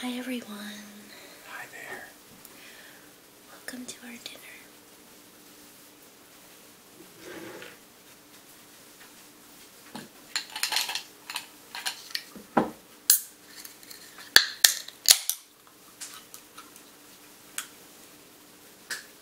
Hi everyone. Hi there. Welcome to our dinner.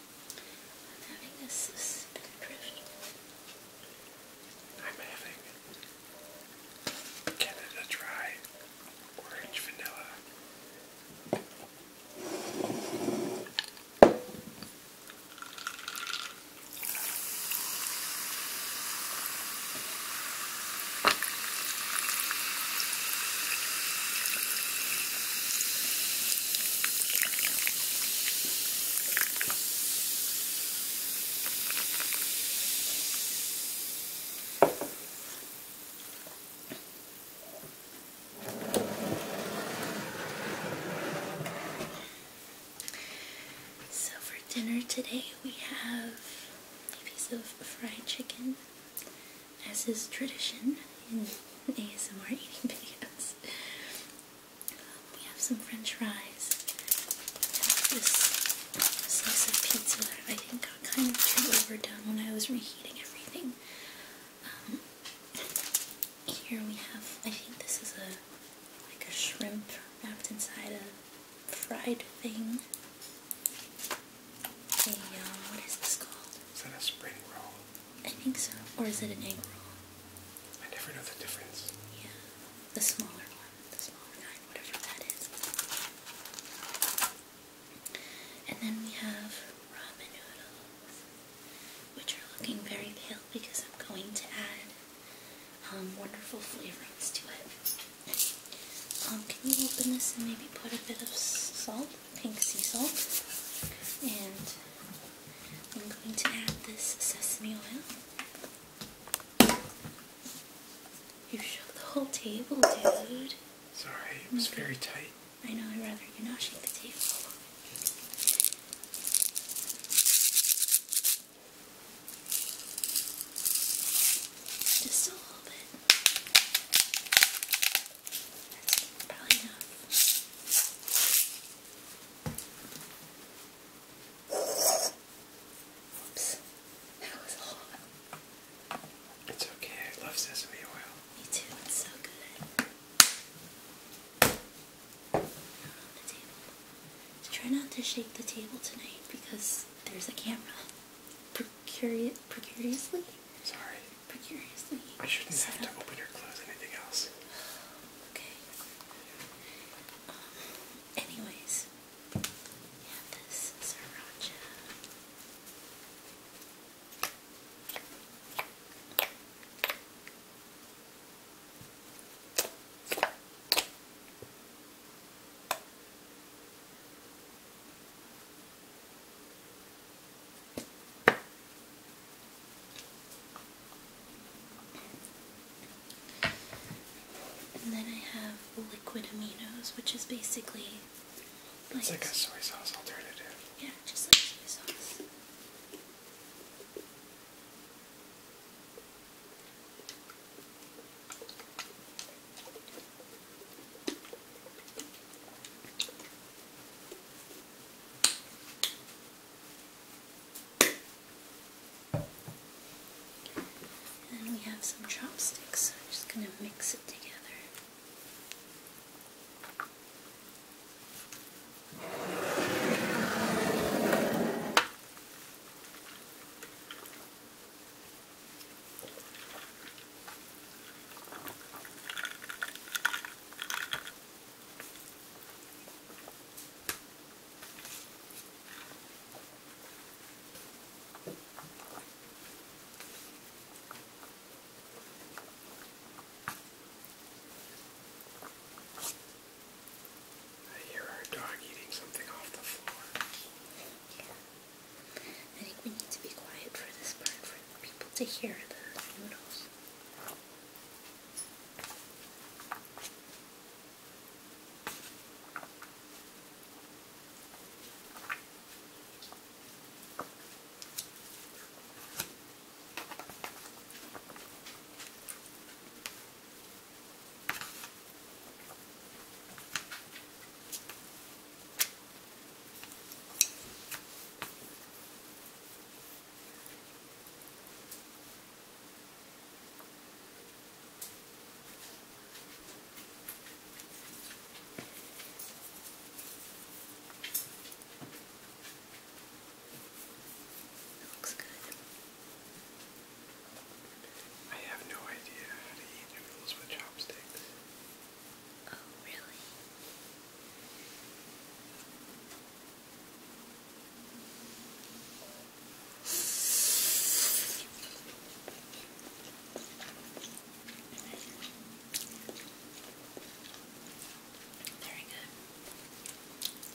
I'm having a spin drift. I'm having Canada Dry Orange Vanilla. So for dinner today we have a piece of fried chicken as is tradition in ASMR eating videos. We have some french fries. This slice of pizza that I think got kind of too overdone when I was reheating everything. Um, here we have, I think this is a like a shrimp wrapped inside a fried thing. A, um, what is this called? Is that a spring roll? I think so. Or is it an egg roll? I never know the difference. Yeah. The smaller one. The smaller nine, whatever that is. And then we have ramen noodles, which are looking very pale because I'm going to add um, wonderful flavors to it. Um, can you open this and maybe put a bit of salt, pink sea salt, and I'm going to add this sesame oil. You shook the whole table, dude. Sorry, it was very tight. I know, I'd rather you not shake the table. Just a that's It's okay, I love sesame oil. Me too, it's so good. Try not to shake the table tonight because there's a camera. Precuri precariously? Sorry. I shouldn't have to open or close anything else. Okay. Um, anyways, yeah, this sriracha. And then I have liquid aminos, which is basically like a soy sauce alternative. Yeah, just like soy sauce. And then we have some chopsticks, so I'm just going to mix it together. I hear our dog eating something off the floor. I think we need to be quiet for this part for people to hear the noodles. It looks good. I have no idea how to eat noodles with chopsticks. Oh, Very good.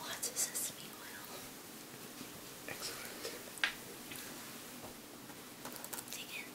Lots of sesame oil. Excellent. Dig in.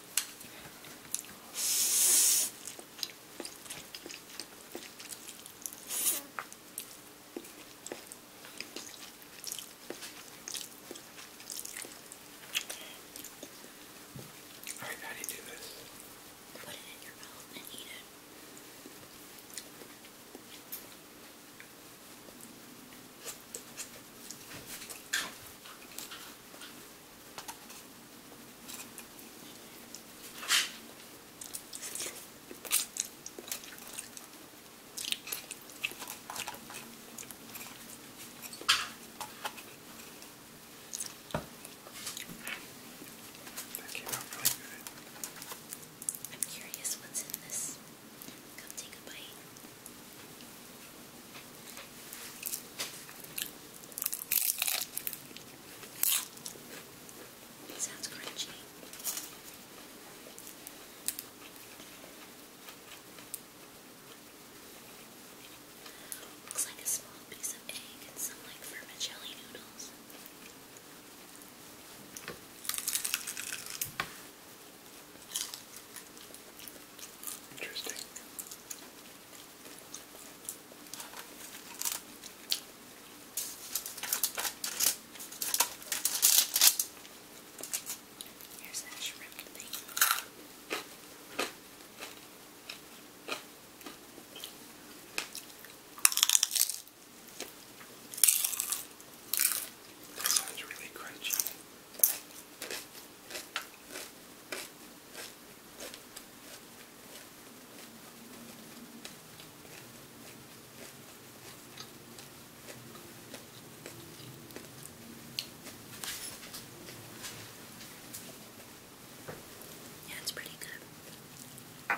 Alright, how do you do this? Put it in your mouth and eat it. That came out really good. I'm curious what's in this. Come take a bite. It sounds crunchy. Looks like a small piece of egg and some like vermicelli noodles. Interesting. Here's that shrimp thing. That sounds really crunchy. Yeah, it's pretty good.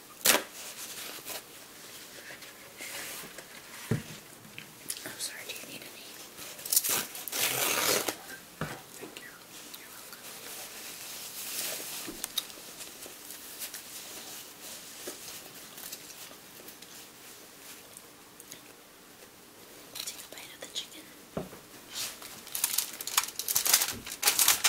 I'm sorry, do you need any? Thank you. You're welcome. Take a bite of the chicken.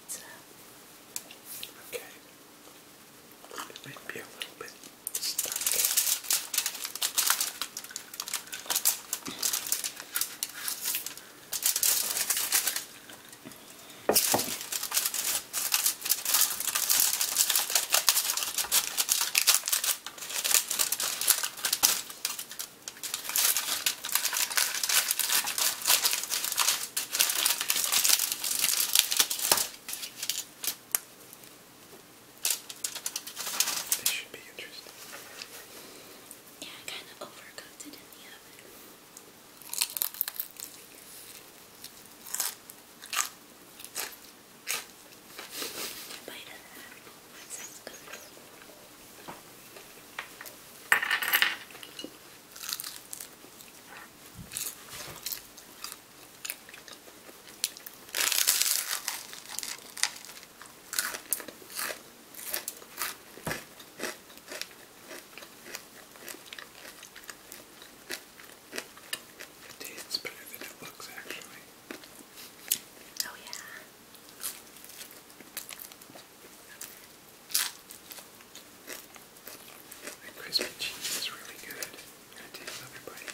Uh, okay. It might be a little bit stuck. This should be interesting. Yeah, I kind of overcooked it in the oven. Bite of that. That sounds good. It tastes better than it looks, actually. Oh, yeah. That crispy cheese is really good. I did love your bite.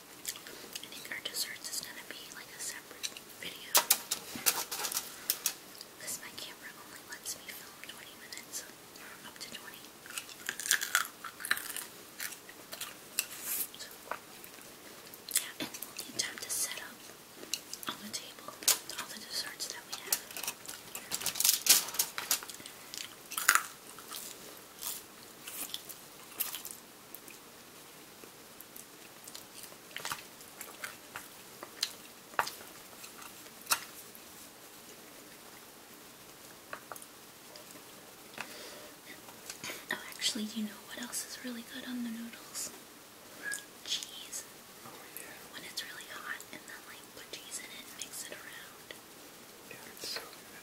I think our desserts is gonna be like a separate video. Because my camera only lets me film 20 minutes, or up to 20. yeah, and we'll need time to set up on the table all the desserts that we have. Oh, actually, you know what else is really good on the noodles? Cheese. Oh, yeah. When it's really hot, and then, like, put cheese in it mix it around. Yeah, it's so good.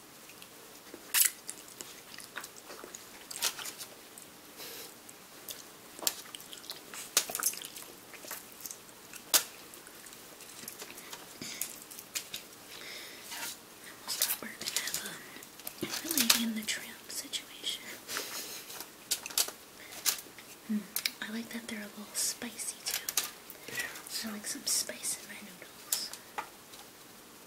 Almost thought we were in the tram situation. Hmm, I like that they're a little spicy too. I like some spice in my noodles.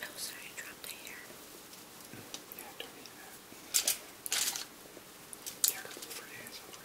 Oh, sorry, I dropped the hair. Yeah, don't need that. Yeah, a couple of days over.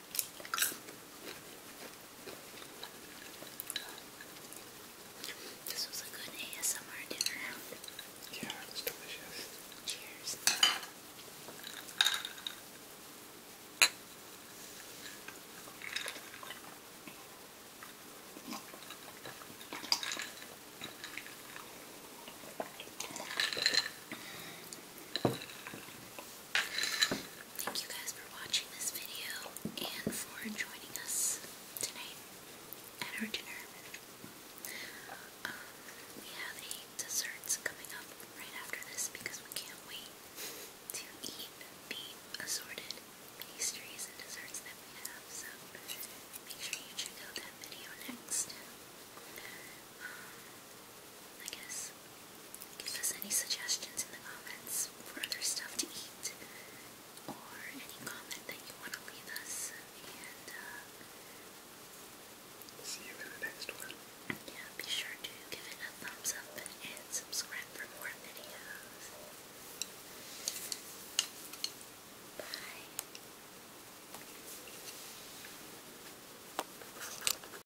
This was a good ASMR dinner. Yeah, it delicious. Cheers. Thank you guys for watching this video and for joining us tonight at our dinner. Um, we have a desserts coming up right after this because we can't wait to eat the assorted pastries and desserts that we have. So make sure you check out that video next. Um, I guess give us any suggestions in the comments for other stuff to eat or any comment that you want to leave us and uh, see you in the next one. Yeah, be sure to give it a thumbs up and subscribe for more videos. Bye.